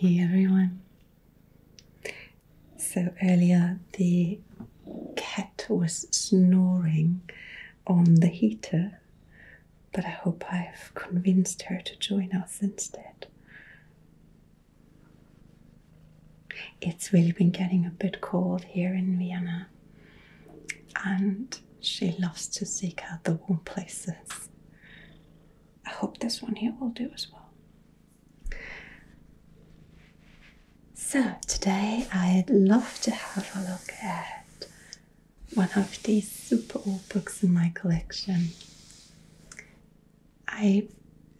Hey everyone. So earlier the cat was snoring on the heater, but I hope I've convinced her to join us instead. It's really been getting a bit cold here in Vienna, and she loves to seek out the warm places. I hope this one here will do as well. So, today I'd love to have a look at one of these super old books in my collection. I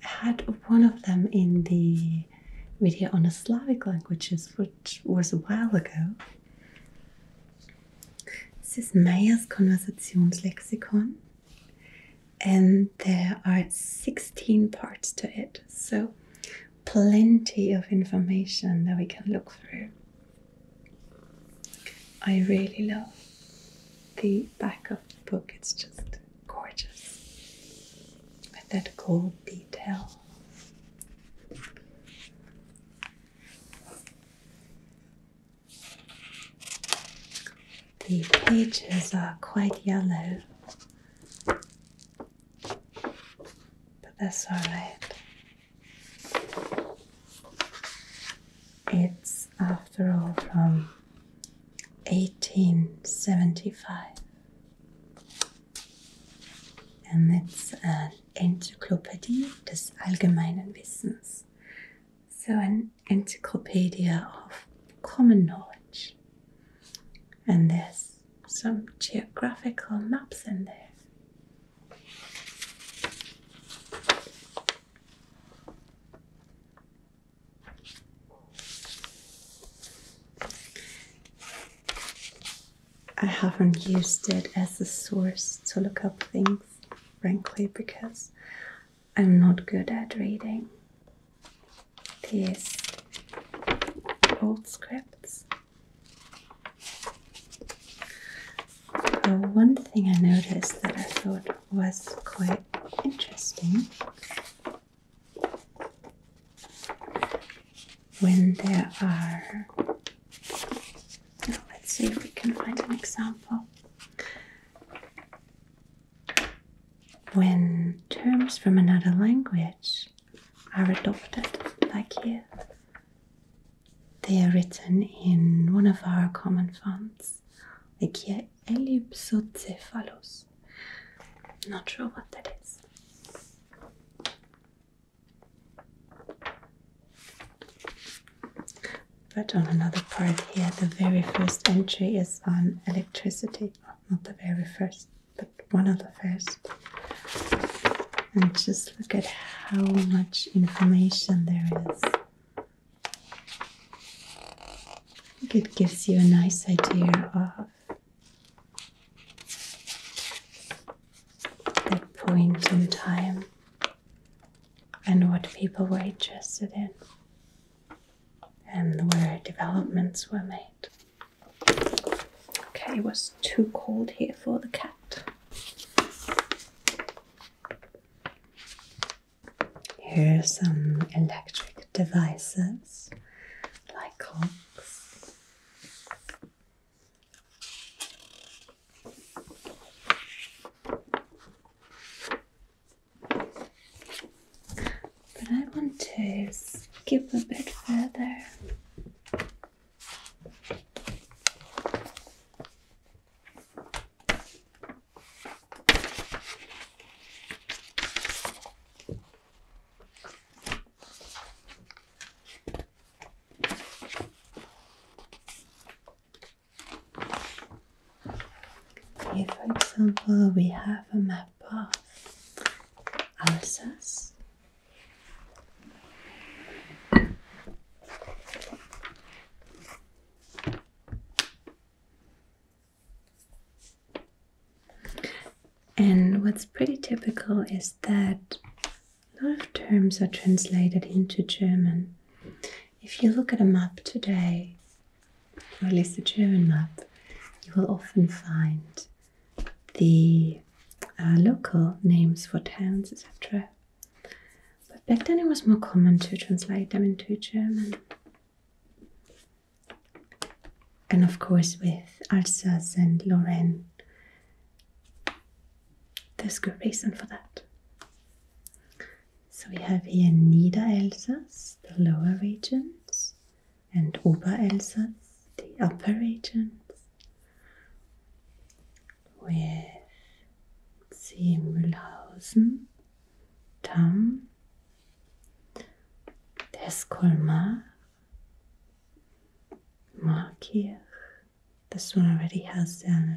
had one of them in the video on the Slavic languages, which was a while ago. This is Meyer's Conversations Konversationslexikon, and there are 16 parts to it, so plenty of information that we can look through. I really love the back of the book, it's just gorgeous with that gold detail. The pages are quite yellow, but that's all right. It's, after all, from 1875, and it's an Enzyklopädie des allgemeinen Wissens. So, an encyclopedia of common knowledge. And there's some geographical maps in there. I haven't used it as a source to look up things, frankly, because I'm not good at reading these old scripts. So uh, one thing I noticed that I thought was quite interesting when there are now let's see if we can find an example. When terms from another language are adopted, like here, they are written in one of our common fonts, like here, ellipsocephalus. Not sure what that is. But on another part here, the very first entry is on electricity. Not the very first, but one of the first. And just look at how much information there is. I think it gives you a nice idea of that point in time and what people were interested in and where developments were made. Okay, it was too cold here for the cat. Here are some electric devices like clocks. But I want to skip a bit further. Here, for example, we have a map of Alsace, and what's pretty typical is that a lot of terms are translated into German. If you look at a map today, or at least a German map, you will often find the uh, local names for towns, etc. But back then it was more common to translate them into German. And of course, with Alsace and Lorraine, there's good reason for that. So we have here Niederelsass, the lower regions, and Oberelsass, the upper regions, with see Mühlhausen, Tam, there's Markirch. This one already has a uh,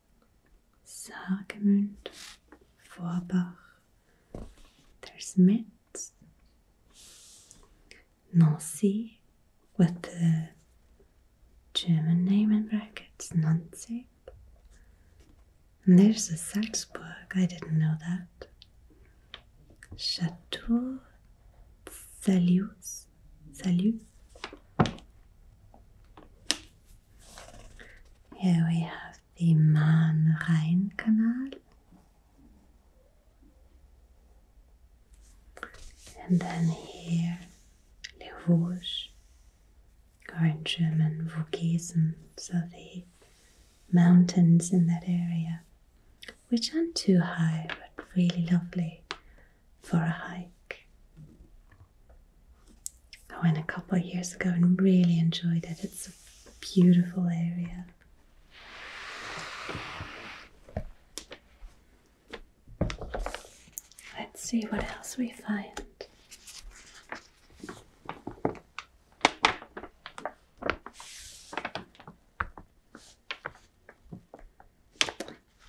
Sagemund, Vorbach, there's Metz, Nancy with the German name in brackets, Nancy. And there's the Salzburg, I didn't know that. Chateau salutes, salutes. Here we have the Mahn-Rhein Canal. And then here, Les Vosges, or in German, Vogesen, so the mountains in that area, which aren't too high but really lovely for a hike. I went a couple of years ago and really enjoyed it. It's a beautiful area. Let's see what else we find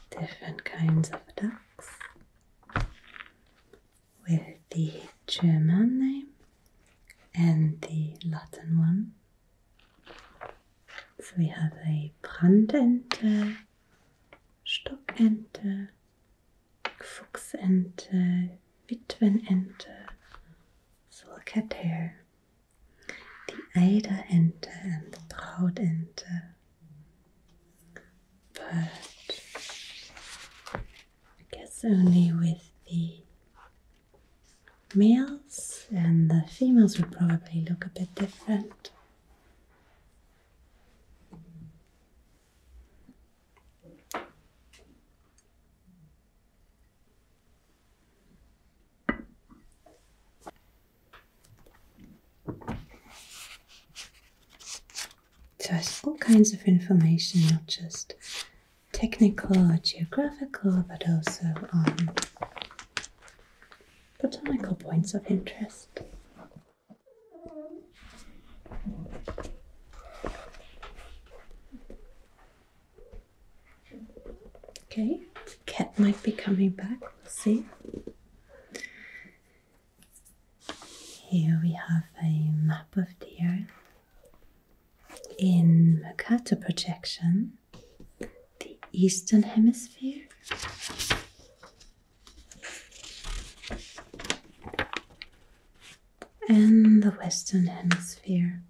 different kinds of ducks with the German name and the Latin one. So we have a Brandente, Stockente, Fuchsente, Witwenente, So look at Sulcater, the Eiderente and the Brautente but I guess only with the males, and the females would probably look a bit different. Just all kinds of information, not just technical or geographical, but also on botanical points of interest. Okay, cat might be coming back, we'll see. Here we have a map of the Earth in Mercator projection, the Eastern Hemisphere. And the Western Hemisphere.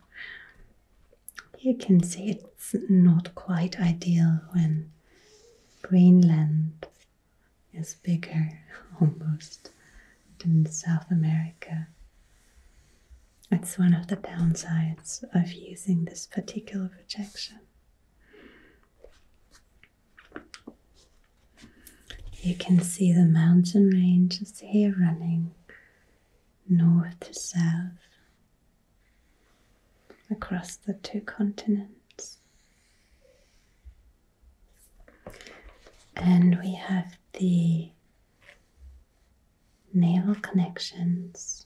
You can see it's not quite ideal when Greenland is bigger almost than South America. It's one of the downsides of using this particular projection. You can see the mountain ranges here running north to south across the two continents. And we have the naval connections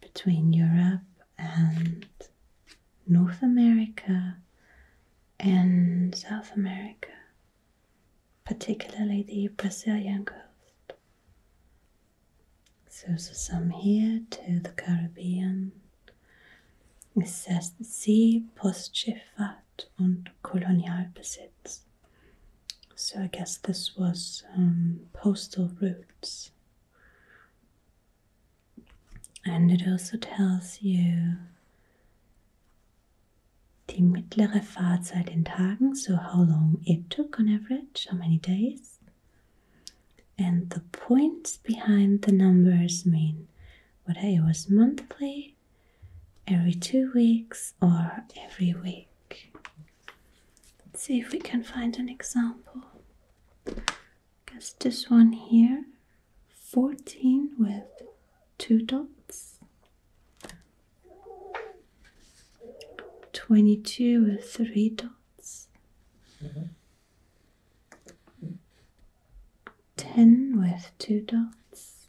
between Europe and North America and South America, particularly the Brazilian coast. So, some here to the Caribbean Es heißt See, Postschifffahrt und Kolonialbesitz. So I guess this was um, postal routes. And it also tells you die mittlere Fahrzeit in Tagen, so how long it took on average, how many days. And the points behind the numbers mean whether it was monthly, every two weeks, or every week. Let's see if we can find an example. I guess this one here 14 with two dots, 22 with three dots. Mm-hmm. 10 with two dots,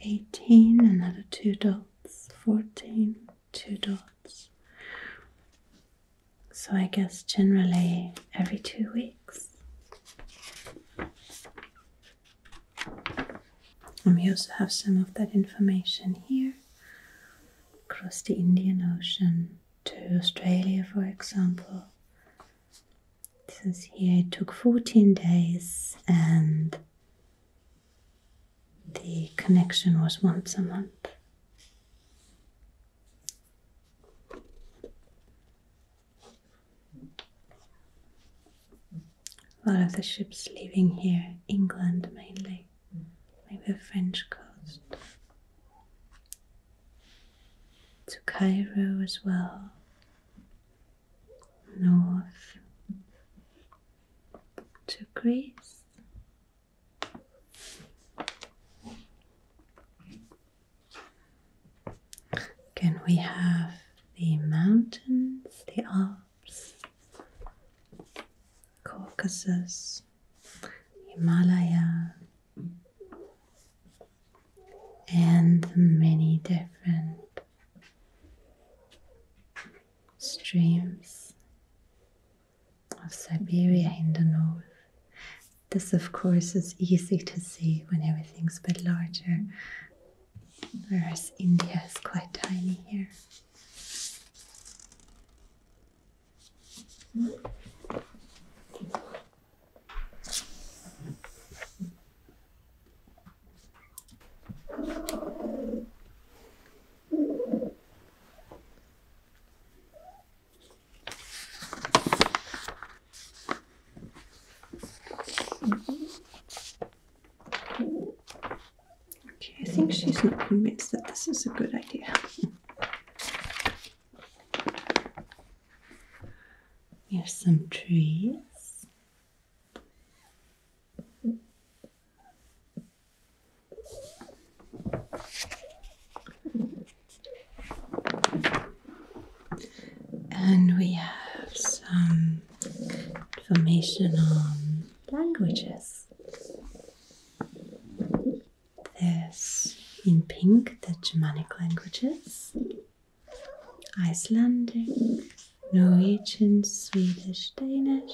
18, another two dots, 14, two dots. So I guess generally every two weeks. And we also have some of that information here across the Indian Ocean to Australia, for example. Since here it took 14 days and the connection was once a month. A lot of the ships leaving here, England mainly. Maybe the French coast, to Cairo as well, north to Greece. Again, we have the mountains, the Alps, Caucasus. Himalaya, and the many different streams of Siberia in the north. This, of course, is easy to see when everything's a bit larger, whereas India is quite tiny here. Okay, I think she's not convinced that this is a good idea. Here's some trees. And we have some information on languages. There's in pink the Germanic languages, Icelandic, Norwegian, Swedish, Danish.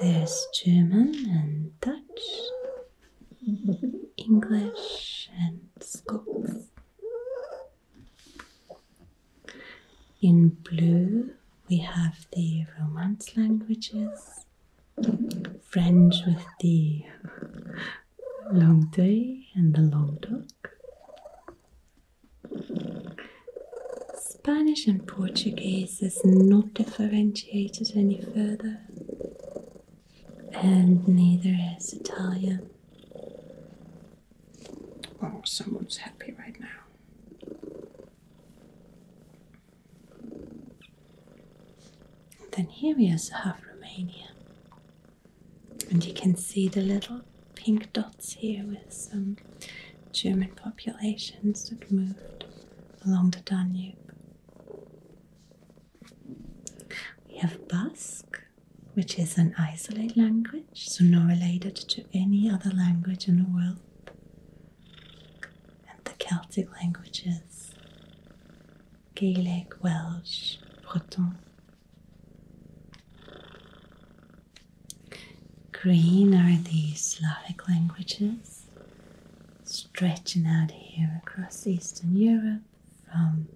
There's German and Dutch, English and Scots. In blue, we have the Romance languages, friends with the long day and the long dog. Spanish and Portuguese is not differentiated any further, and neither is Italian. Oh, someone's happy right now. Then here we also have Romania. And you can see the little pink dots here with some German populations that moved along the Danube. We have Basque, which is an isolate language, so not related to any other language in the world and the Celtic languages Gaelic, Welsh, Breton. Green are the Slavic languages, stretching out here across Eastern Europe from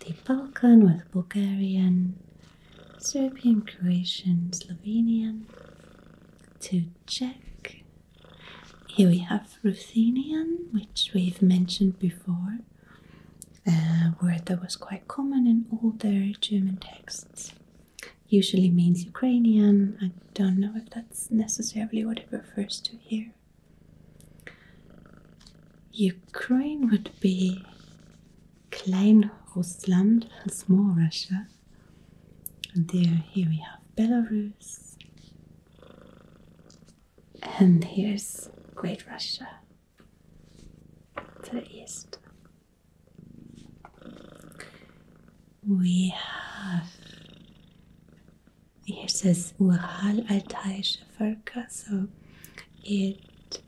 the Balkan with Bulgarian, Serbian, Croatian, Slovenian to check. Here we have Ruthenian, which we've mentioned before, a word that was quite common in older German texts. Usually means Ukrainian. I don't know if that's necessarily what it refers to here. Ukraine would be Klein Russland, small Russia. And there, here we have Belarus. And here's Great Russia to the east. We have here says Ural Altaische Völker, so it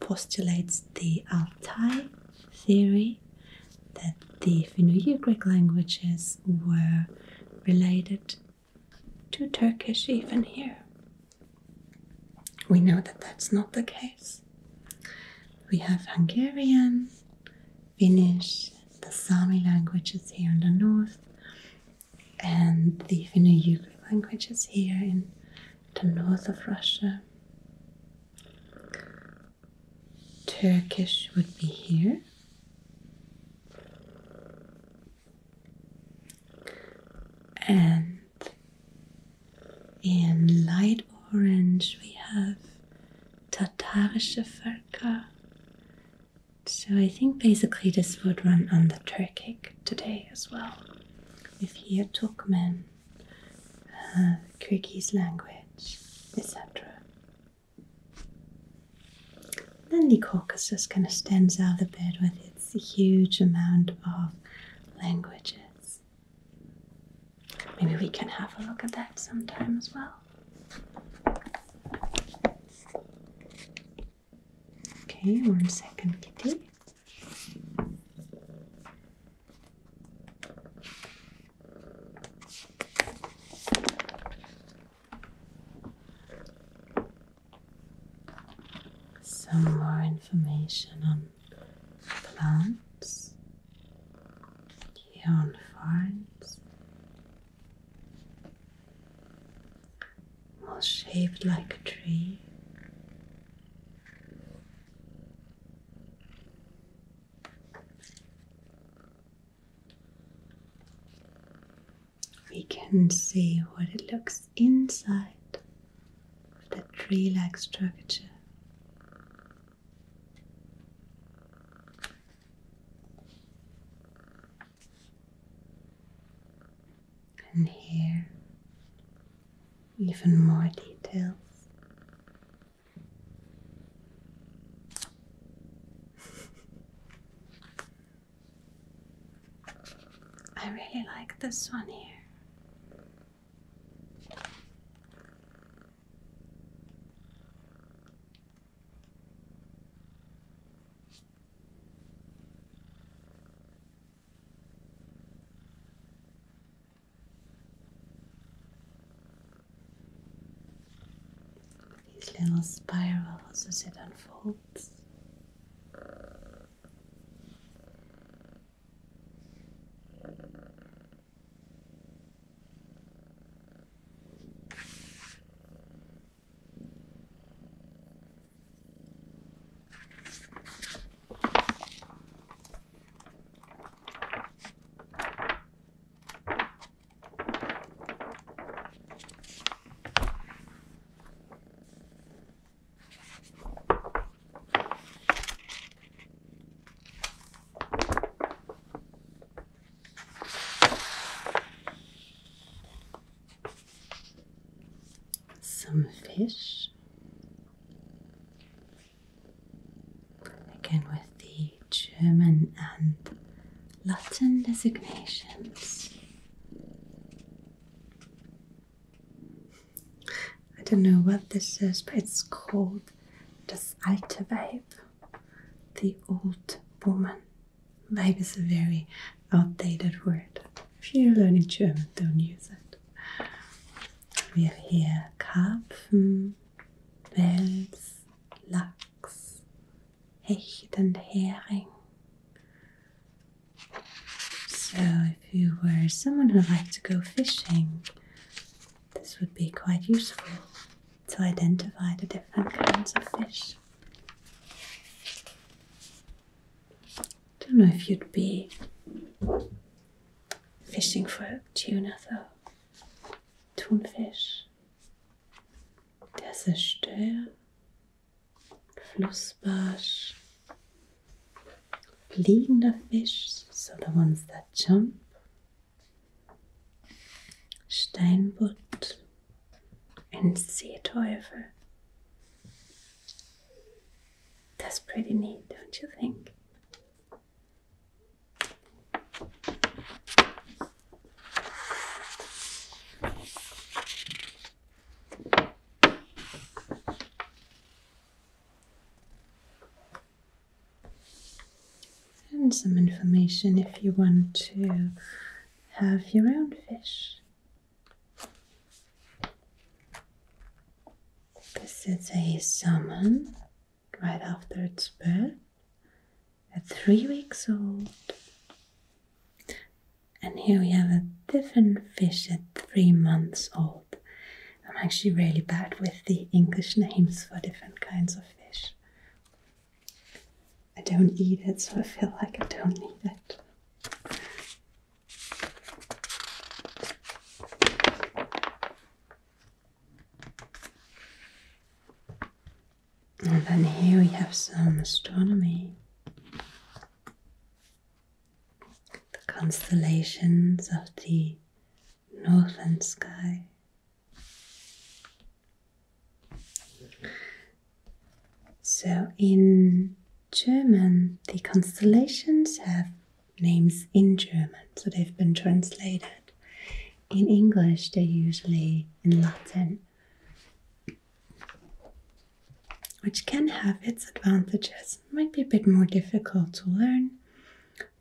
postulates the Altai theory that the Finno-Ugric languages were related to Turkish even here. We know that that's not the case. We have Hungarian, Finnish, the Sami languages here in the north, and the Finno-Ugric languages here in the north of Russia. Turkish would be here. And in light orange we have Tatarische Völker. So I think basically this would run under Turkic today as well. With here Turkmen, Kyrgyz language, etc. Then the Caucasus kind of stands out a bit with its huge amount of languages. Maybe we can have a look at that sometime as well. Okay, one second, Kitty some more information on plants here on All shaped like a tree. We can see what it looks inside of that tree like structure. And here, even more details. I really like this one here. These little spirals as it unfolds. Some fish again with the German and Latin designations. I don't know what this is, but it's called Das alte Weib, the old woman. Weib is a very outdated word. If you're learning German, don't use it. We have here Karpfen, Wels, Lachs, Hechtende herring. So, if you were someone who liked to go fishing, this would be quite useful to identify the different kinds of fish. Don't know if you'd be fishing for tuna though, tunfish. Das a Stör, Flussbarsch, fliegender Fisch, so the ones that jump, Steinbutt, and Seeteufel. That's pretty neat, don't you think? And some information if you want to have your own fish. This is a salmon right after its birth a three weeks old. And here we have a different fish at three months old. I'm actually really bad with the English names for different kinds of fish. I don't eat it, so I feel like I don't need it. And then here we have some astronomy. The constellations of the northern sky. So, in German, the constellations have names in German, so they've been translated. In English, they're usually in Latin which can have its advantages. might be a bit more difficult to learn,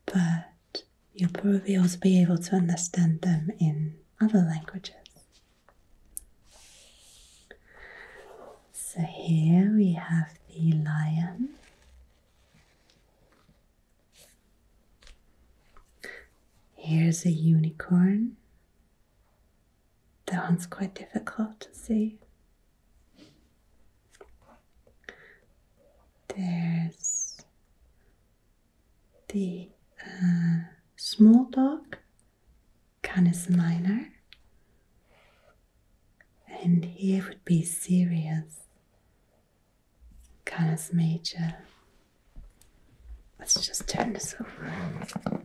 but you'll probably also be able to understand them in other languages. So here we have the lion. Here's a unicorn. That one's quite difficult to see. There's the uh, small dog, Canis minor, and here would be Sirius, Canis major. Let's just turn this over.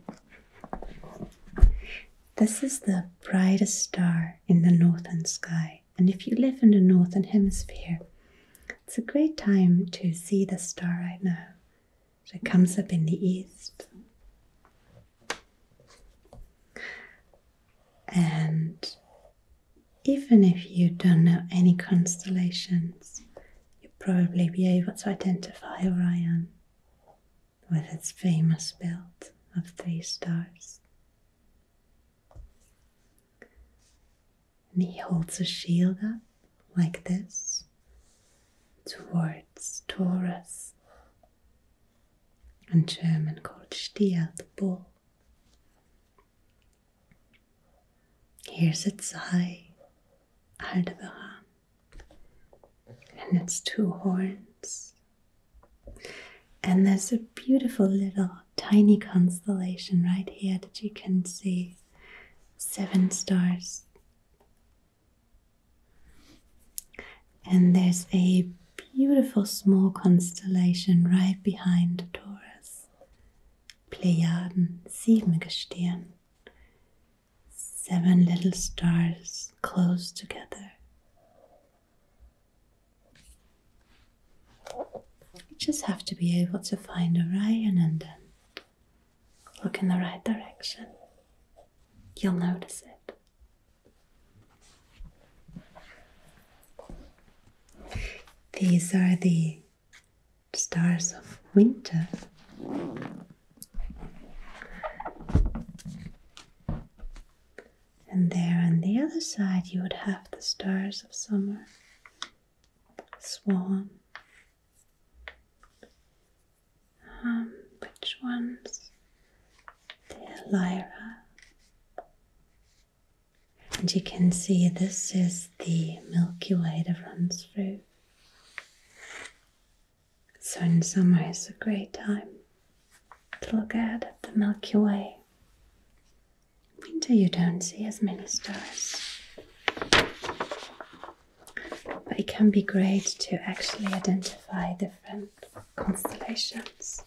This is the brightest star in the northern sky, and if you live in the northern hemisphere, it's a great time to see this star right now. it comes up in the east. And even if you don't know any constellations, you'll probably be able to identify Orion with its famous belt of three stars. And he holds a shield up like this towards Taurus, in German called Stier, the bull. Here's its eye, Aldebaran, and its two horns. And there's a beautiful little tiny constellation right here that you can see seven stars. And there's a beautiful small constellation right behind Taurus. Plejaden, Siebengestirn seven little stars close together. You just have to be able to find Orion and then look in the right direction. You'll notice it. These are the stars of winter. And there on the other side, you would have the stars of summer, swan. Um, which ones? The Lyra. And you can see this is the Milky Way that runs through so, in summer, it's a great time to look at the Milky Way. Winter, you don't see as many stars. But it can be great to actually identify different constellations.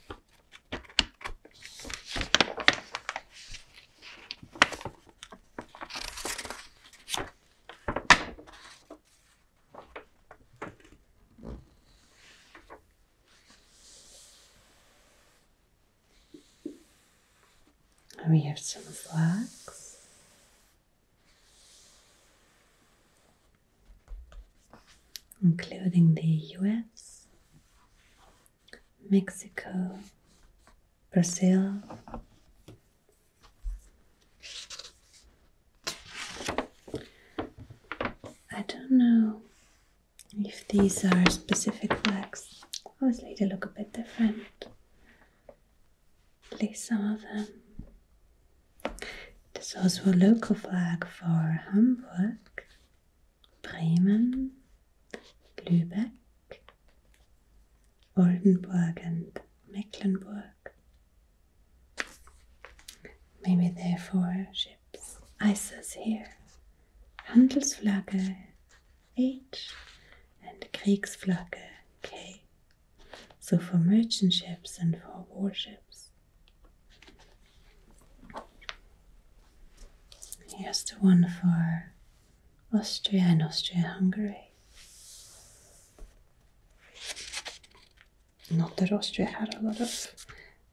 And we have some flags, Including the US, Mexico, Brazil. I don't know if these are specific flags. Obviously, they look a bit different. At least some of them. There's also a local flag for Hamburg, Bremen, Lübeck, Oldenburg and Mecklenburg. Maybe for ships ISIS here, Handelsflagge H and Kriegsflagge K. So for merchant ships and for warships. Here's the one for Austria and Austria Hungary. Not that Austria had a lot of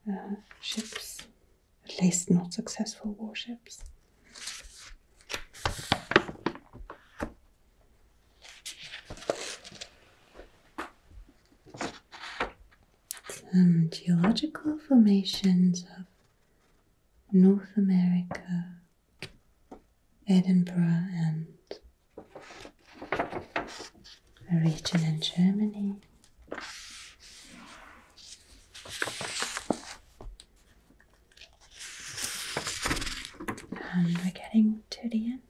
uh, ships, at least not successful warships. Some geological formations of North America Edinburgh and a region in Germany. And we're getting to the end.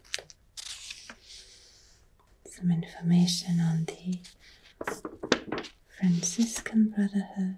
Some information on the Franciscan Brotherhood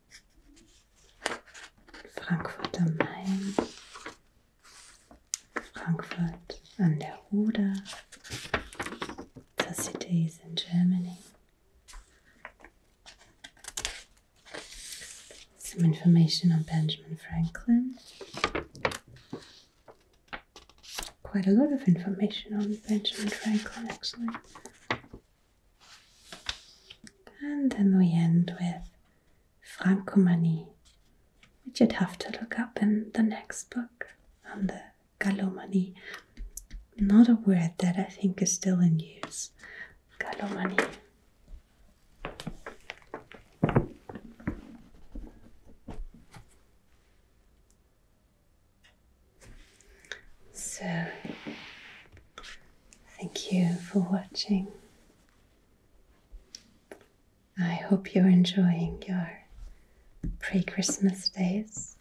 Frankfurt am Main, Frankfurt an der Oder, the cities in Germany. Some information on Benjamin Franklin. Quite a lot of information on Benjamin Franklin, actually. And then we end with Franco Francomanie, which you'd have to look up in the next book on the Galomanie. Not a word that I think is still in use. Galomanie. So, thank you for watching. I hope you're enjoying your pre Christmas days.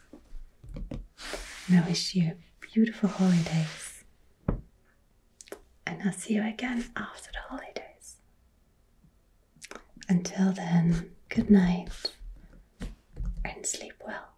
And I wish you beautiful holidays. And I'll see you again after the holidays. Until then, good night and sleep well.